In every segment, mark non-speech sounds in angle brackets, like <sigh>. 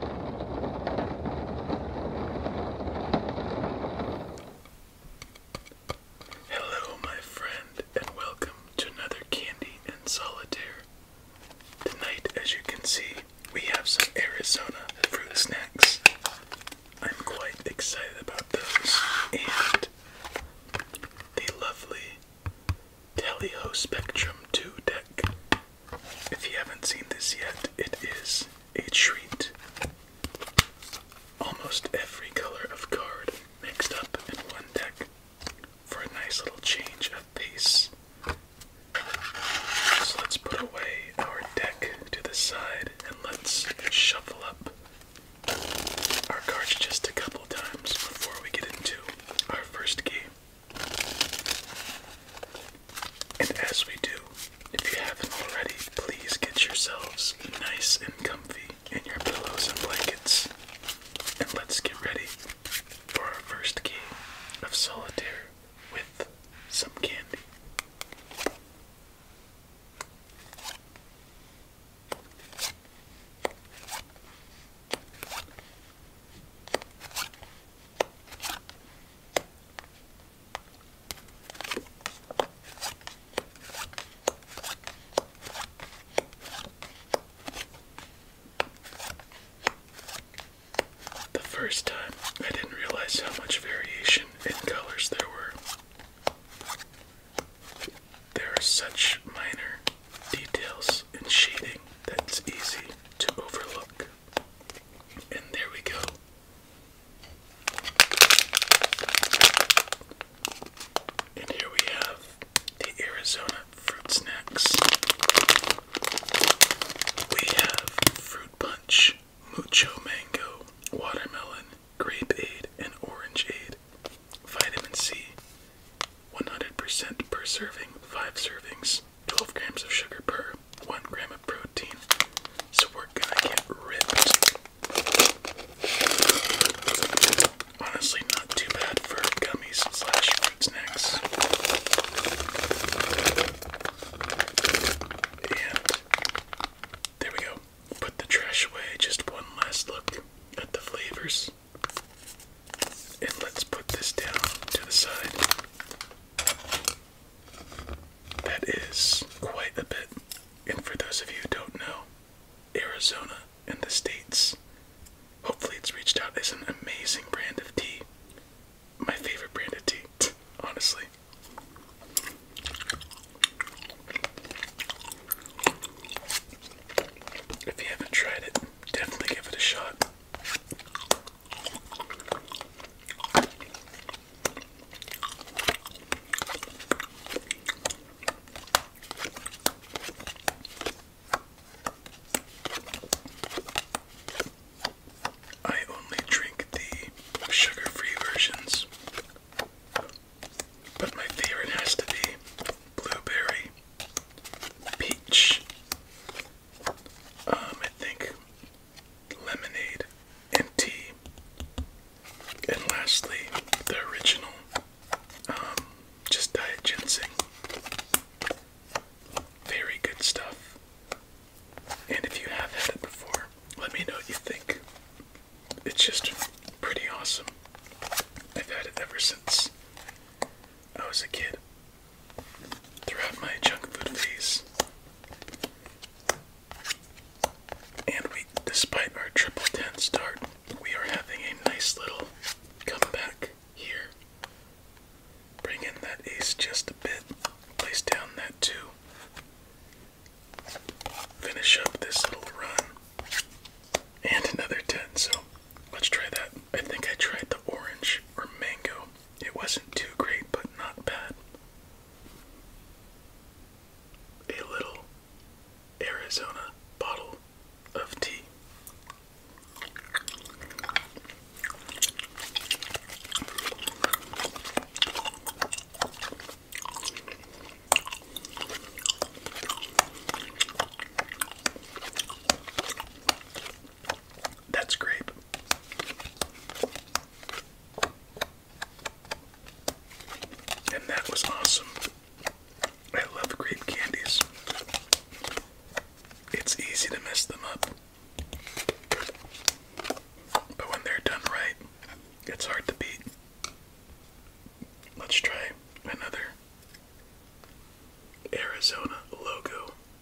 Hello, my friend, and welcome to another Candy and Solitaire. Tonight, as you can see, we have some Arizona fruit snacks. I'm quite excited about those, and the lovely Teleho Spectrum 2 deck if you haven't seen this yet, it is a treat. Almost every color of card mixed up in one deck for a nice little change of pace. So let's put away our deck to the side and let's shuffle up our cards just a couple times before we get into our first game. And as we do, if you haven't already, please get yourselves nice and comfy in your pillows and blankets. And let's get ready for our first game of solitaire with some candy. The first time, I didn't realize how much variation in colors there were. There are such minor details in shading that it's easy to overlook. And there we go. And here we have the Arizona fruit snacks. We have fruit punch, mucho mango, watermelon, grape aid, and orange aid. Vitamin C, 100% per serving, 5 servings. 12 grams of sugar per 1 gram of protein. So we're gonna get ripped. Honestly, not too bad for gummies slash fruit snacks. And there we go. Put the trash away. Just one last look at the flavors. And let's put this down to the side. That is quite a bit. And for those of you who don't know, Arizona and the States, hopefully it's reached out, is an amazing brand of tea. My favorite brand of tea, <laughs> honestly. If you haven't tried it, definitely give it a shot. I only drink the sugar free versions, but my favorite has to be blueberry, peach, um, I think lemonade and tea. And lastly, the original, um, just diet ginseng. Very good stuff. And if you have had it before, let me know what you think. It's just pretty awesome. I've had it ever since I was a kid throughout my junk food phase. And we, despite our triple start, we are having a nice little comeback here. Bring in that ace just a bit, place down that 2. Finish up this little run. And another 10, so let's try that. I think I tried the orange or mango it wasn't too great, but not bad. A little Arizona bottle of tea. That's grape. And that was awesome. I love grape candies. It's easy to mess them up. But when they're done right, it's hard to beat. Let's try another Arizona logo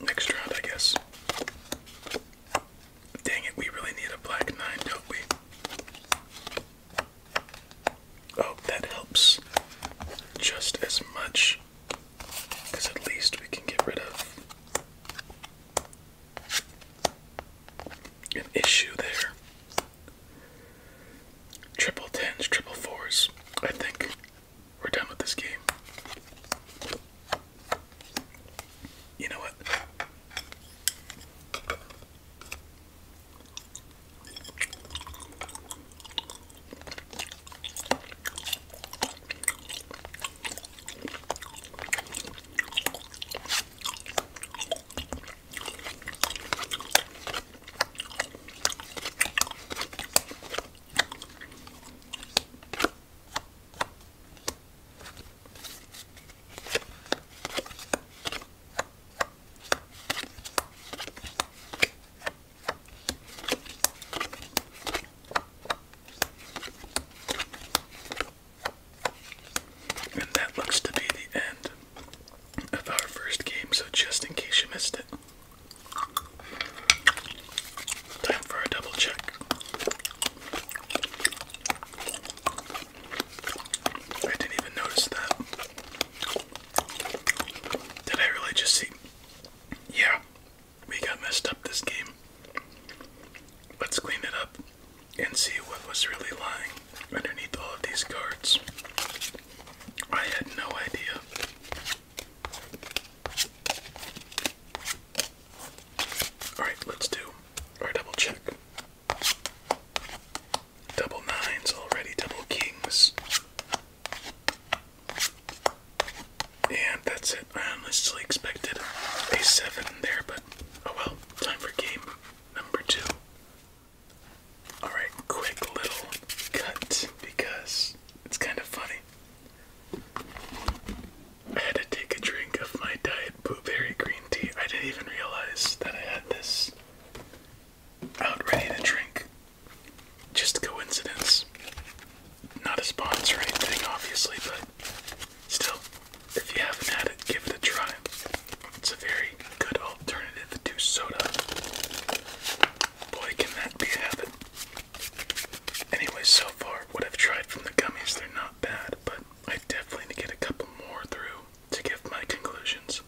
Next round, I guess. Dang it, we really need a black nine, don't we? Oh, that helps just as much. Because at least we can get rid of an issue there. Triple tens, triple fours. I think we're done with this game. You know what? And that looks to be the end of our first game, so just in case you missed it. Time for a double check. I didn't even notice that. Did I really just see? Yeah, we got messed up this game. Let's clean it up and see what was really lying underneath all of these cards. I had no idea. Alright, let's do our double check. Double nines already, double kings. And that's it. I honestly expected a seven there, but oh well. Time for game number two. Alright, quick little cut because it's kind of funny. I had to take a drink of my diet blueberry green tea. I didn't even realize that I had this out ready to drink. Just coincidence. Not a sponsor or anything, obviously, but still, if you haven't had it, give it a try. It's a very good alternative to soda. Boy, can that be a Anyway, so far, what I've tried from the gummies, they're not bad, but I definitely need to get a couple more through to give my conclusions.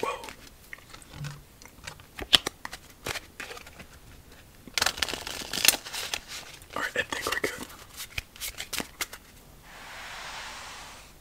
Whoa. Alright, I think we're good.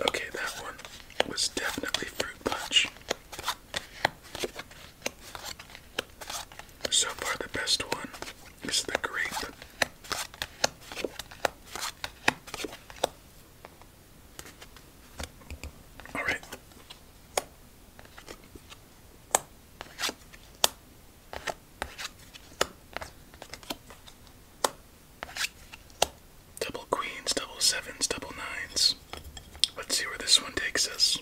Okay, that one was definitely fruit punch. So far, the best one is the grape. All right. Double queens, double sevens, double nines. Let's see where this one takes us.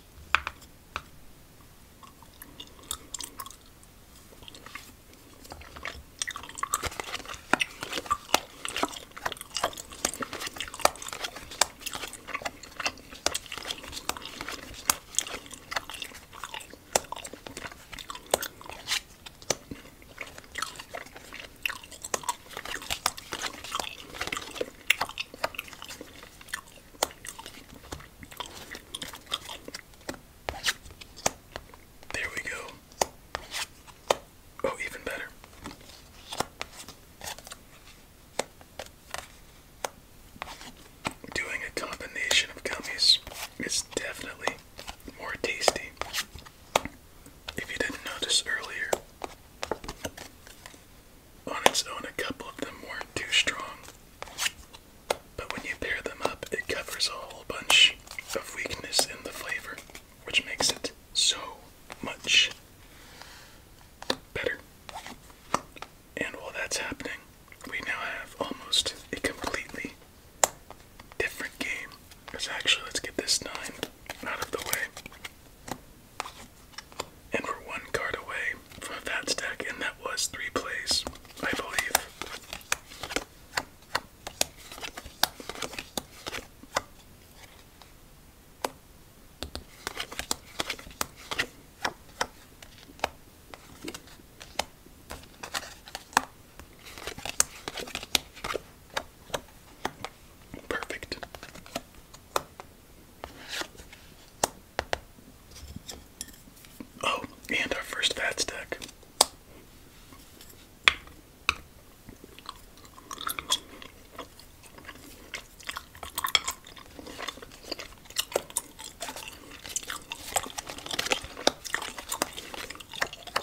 There we go. Oh, even better. Doing a combination of gummies is definitely more tasty if you didn't notice earlier, on its own, a couple of them weren't too strong, but when you pair them up, it covers a whole bunch of weakness in the flavor, which makes it so much better. And while that's happening, we now have almost a completely different game. Because actually, let's get this 9 out of the way. And we're one card away from that stack, and that was three plays, I believe. Perfect. Oh, and our first fat stack.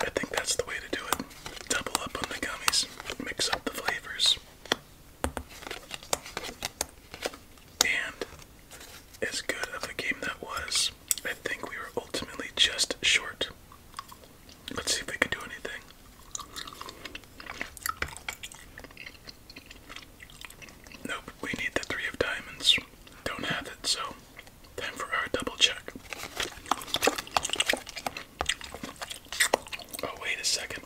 I think that's the way to do it. Double up on the gummies, mix up the flavors. And as good of a game that was, I think we were ultimately just short. Let's see if we can do anything. Nope, we need the three of diamonds. Don't have it, so Time for our double check. Oh, wait a second.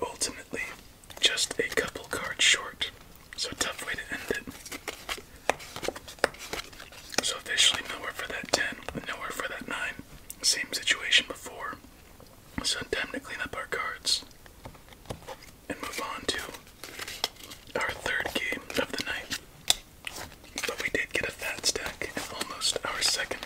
Ultimately, just a couple cards short, so tough way to end it. So officially, nowhere for that 10, nowhere for that 9. Same situation before. So, time to clean up our cards and move on to our third game of the night. But we did get a fat stack almost our second.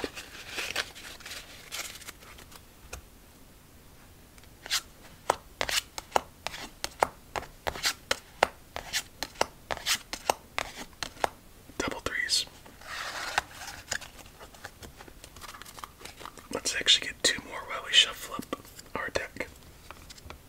Double threes. Let's actually get two more while we shuffle up our deck.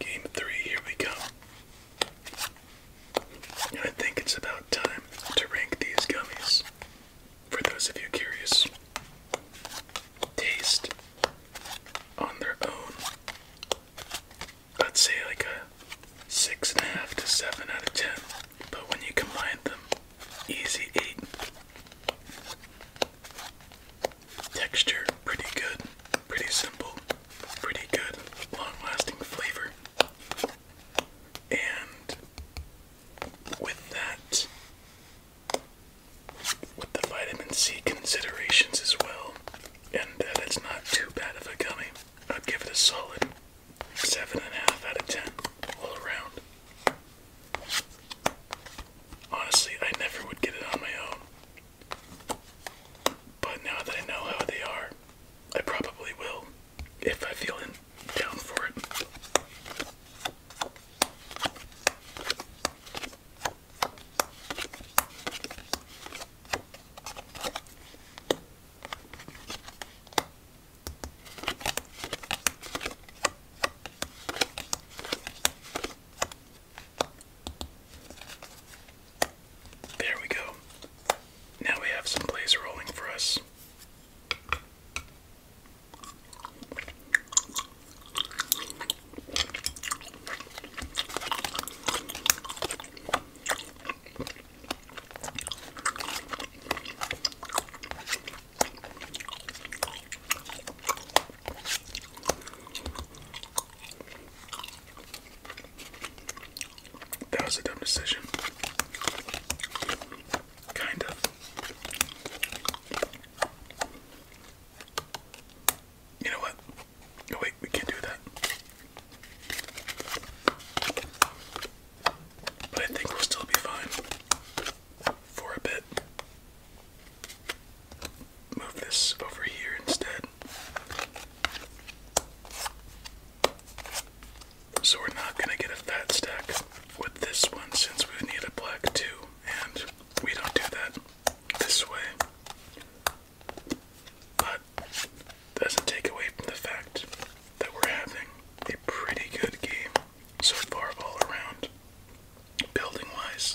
Game three, here we go. I think it's about time to rank these gummies. For those of you curious, taste on their own, Let's say like a 6.5 to 7 out of 10, but when you combine them, easy 8. Texture pretty good. Pretty simple, pretty good, long lasting flavor. And with that, with the vitamin C considerations as well, and that it's not too bad of a gummy, I'd give it a solid 7.5 out of 10 all around. Honestly, I never would get it on my own. But now that I know how they are, I probably will if I feel in, down for it. There we go. Now we have some plays rolling for us. That was a dumb decision. Kind of. You know what? wait, we can't do that. But I think we'll still be fine for a bit. Move this over here instead. So we're not going to get a fat stack with this one since we need a black 2, and we don't do that this way. But doesn't take away from the fact that we're having a pretty good game so far all around, building-wise.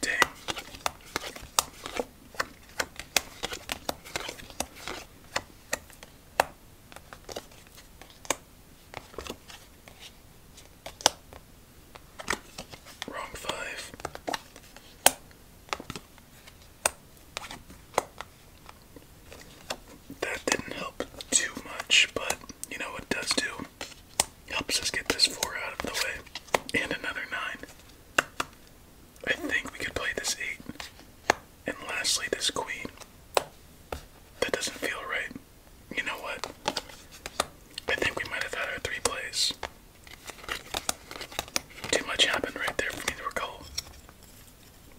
Dang. Wrong five. That didn't help too much, but you know what it does do? Helps us get this four out of the way. And another nine. I think we could play this eight. And lastly, this queen. That doesn't feel right. You know what? I think we might have had our three plays. Too much happened right there for me to recall.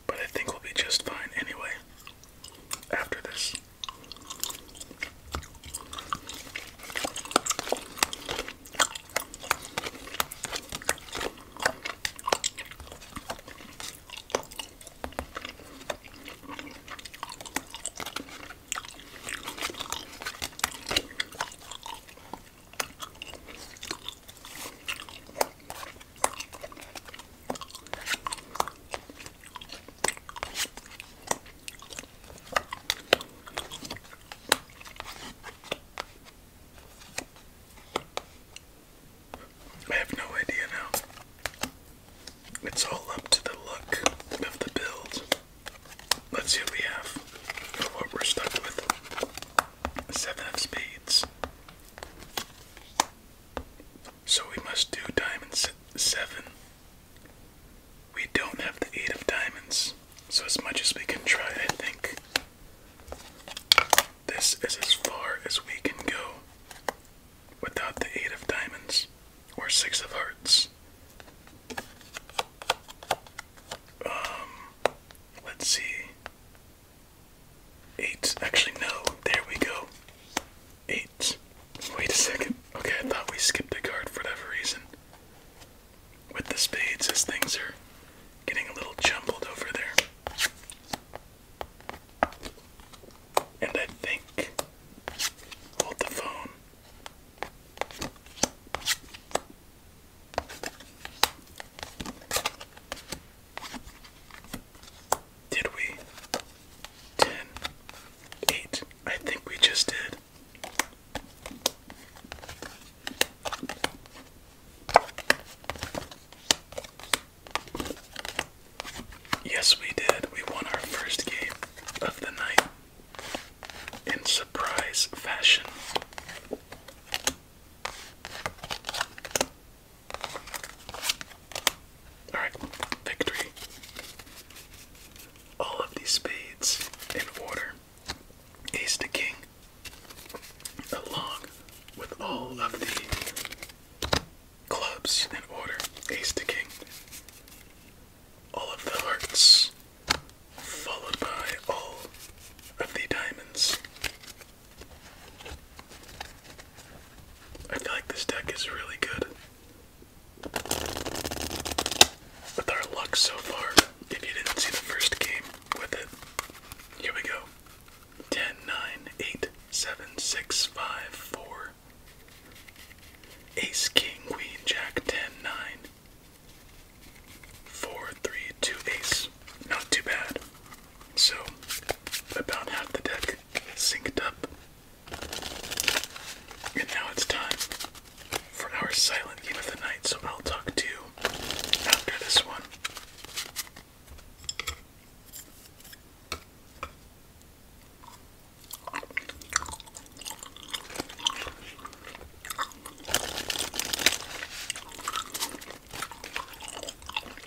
But I think we'll be just fine anyway after this. I have no idea now. It's all up to the look of the build. Let's see what we have. What we're stuck with. Seven of spades. So we must do diamond seven. We don't have the eight of diamonds, so as much as we can try, I think this is as far as we can go without the eight of diamonds or six of hearts. Um, let's see. Eight. Actually, no. There we go. Eight. Wait a second. Okay, I thought we skipped a card for that reason. With the spades, as things are getting a little jumbled over there. And I think. Hold the phone. Did we? 10, I think we just did. Yes, we did. We won our first game of the night in surprise fashion. Alright, victory. All of these spades in order. Ace to king, along with all of the clubs in order. Ace to king. All of the hearts, followed by all of the diamonds. I feel like this deck is really good. With our luck so far, if you didn't see the first game with it, here we go 10, 9, 8, 7, 6, 5, 4. Ace, King, Queen, Jack, 10, 9. 4, 3, 2, Ace not too bad. So, about half the deck synced up. And now it's time for our silent game of the night, so I'll talk to you after this one.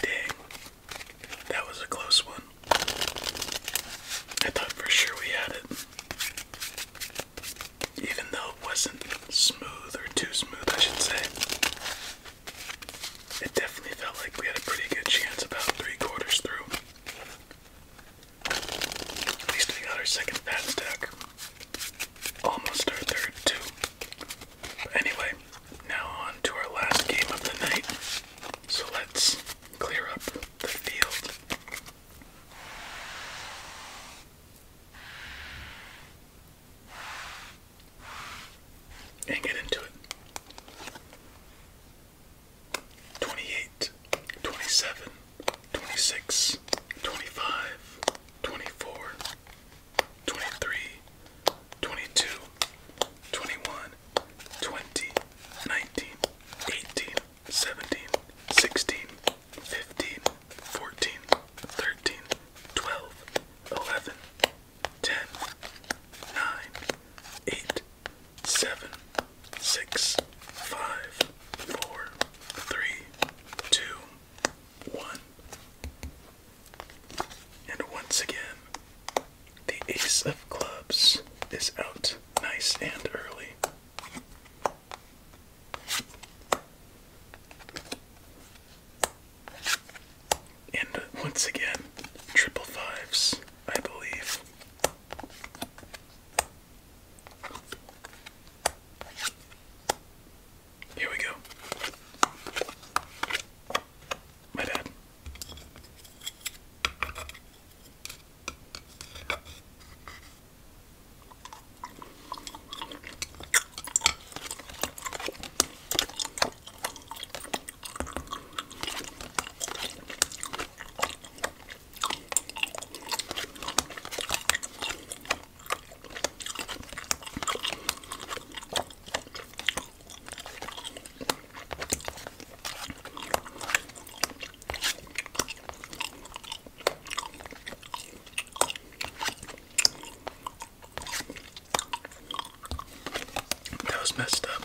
Dang, that was a close one. I thought for sure we had it. Even though it wasn't smooth or too smooth, I should say. It definitely felt like we had a pretty good chance about three quarters through. At least we got our second bad stack. Almost our third, too. anyway, now on to our last game of the night. So let's clear up the field. And get into it. 28, 19, 18, 8, seven, six, five, four, three, two, one. And once again, the ace of clubs is out nice and early. And once again, triple fives I believe. Here we go. My bad. That was messed up.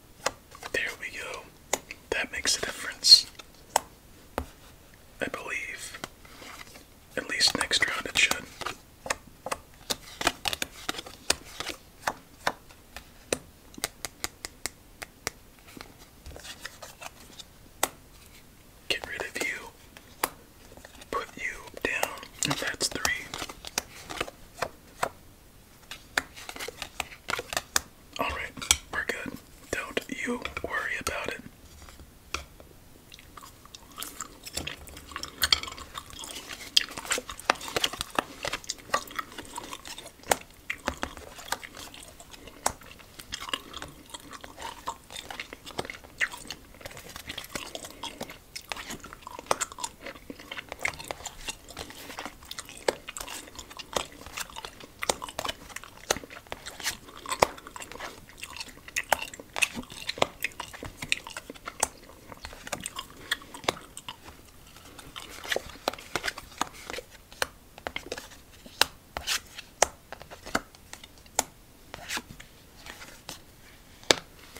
There we go. That makes a difference. I believe. At least next round it should. Get rid of you. Put you down. And that's three. Alright, we're good. Don't you worry about it.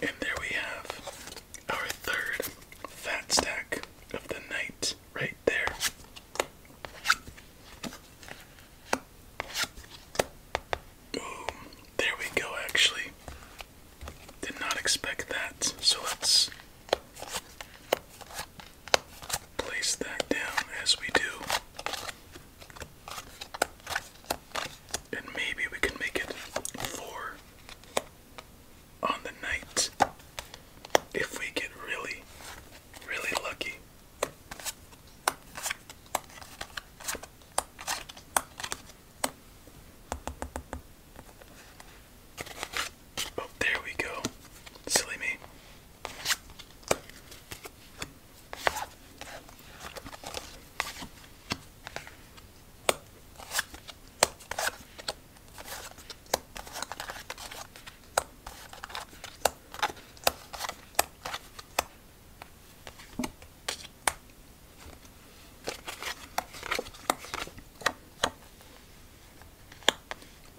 And there we have our third fat stack of the night right there there we go, actually. Did not expect that. So let's place that down as we do. And maybe we can make it four on the night if we get really, really lucky. Oh, there we go. Silly me.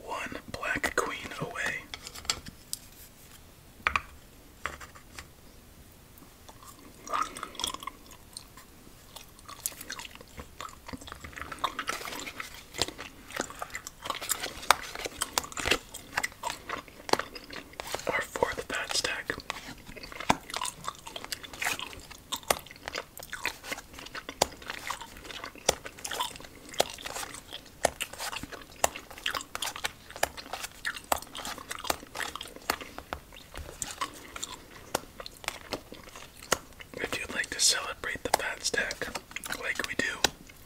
One black queen away. Our fourth bad stack. If you'd like to celebrate the fat stack like we do,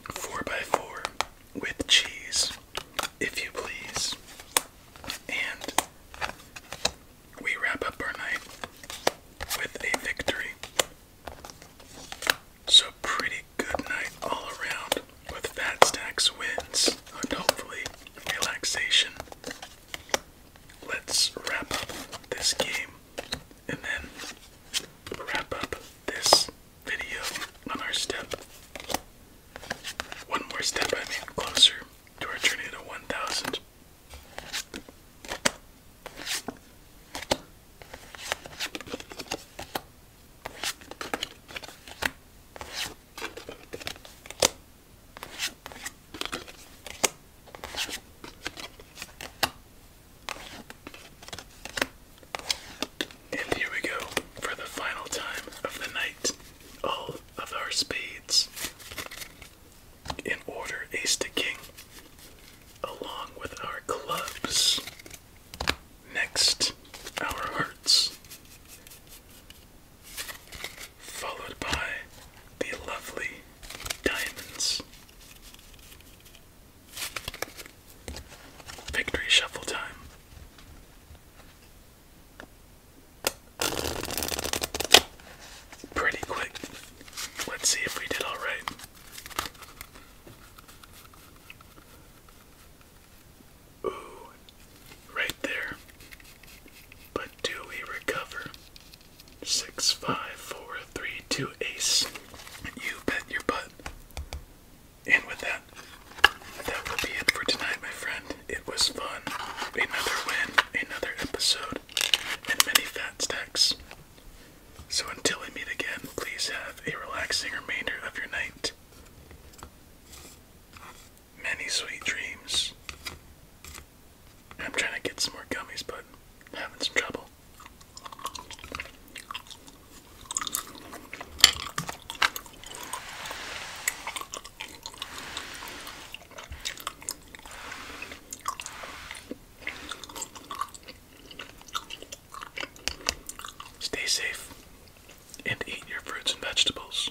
4x4 with cheese, if you please. And we wrap up our night with a victory. So, pretty good night all around with fat stacks wins and hopefully relaxation. Let's wrap up this game and then wrap up this video on our step. One more step, I mean, closer to our journey to 1,000. And here we go for the final time of the night. All of our spades in order ace to king, along with our clubs. Next, our hearts, followed by the lovely diamonds. Victory shuffle time. Pretty quick. Let's see if we did all right. Ooh, right there. But do we recover? Six, five, four, three, two, ace. You bet your butt. And with that, that will be it for tonight, my friend. It was fun. Another win, another episode, and many fat stacks. So until we meet again, please have a relaxing remainder of your night. Many sweet dreams. I'm trying to get some more gummies, but I'm having some trouble. Stay safe and eat your fruits and vegetables.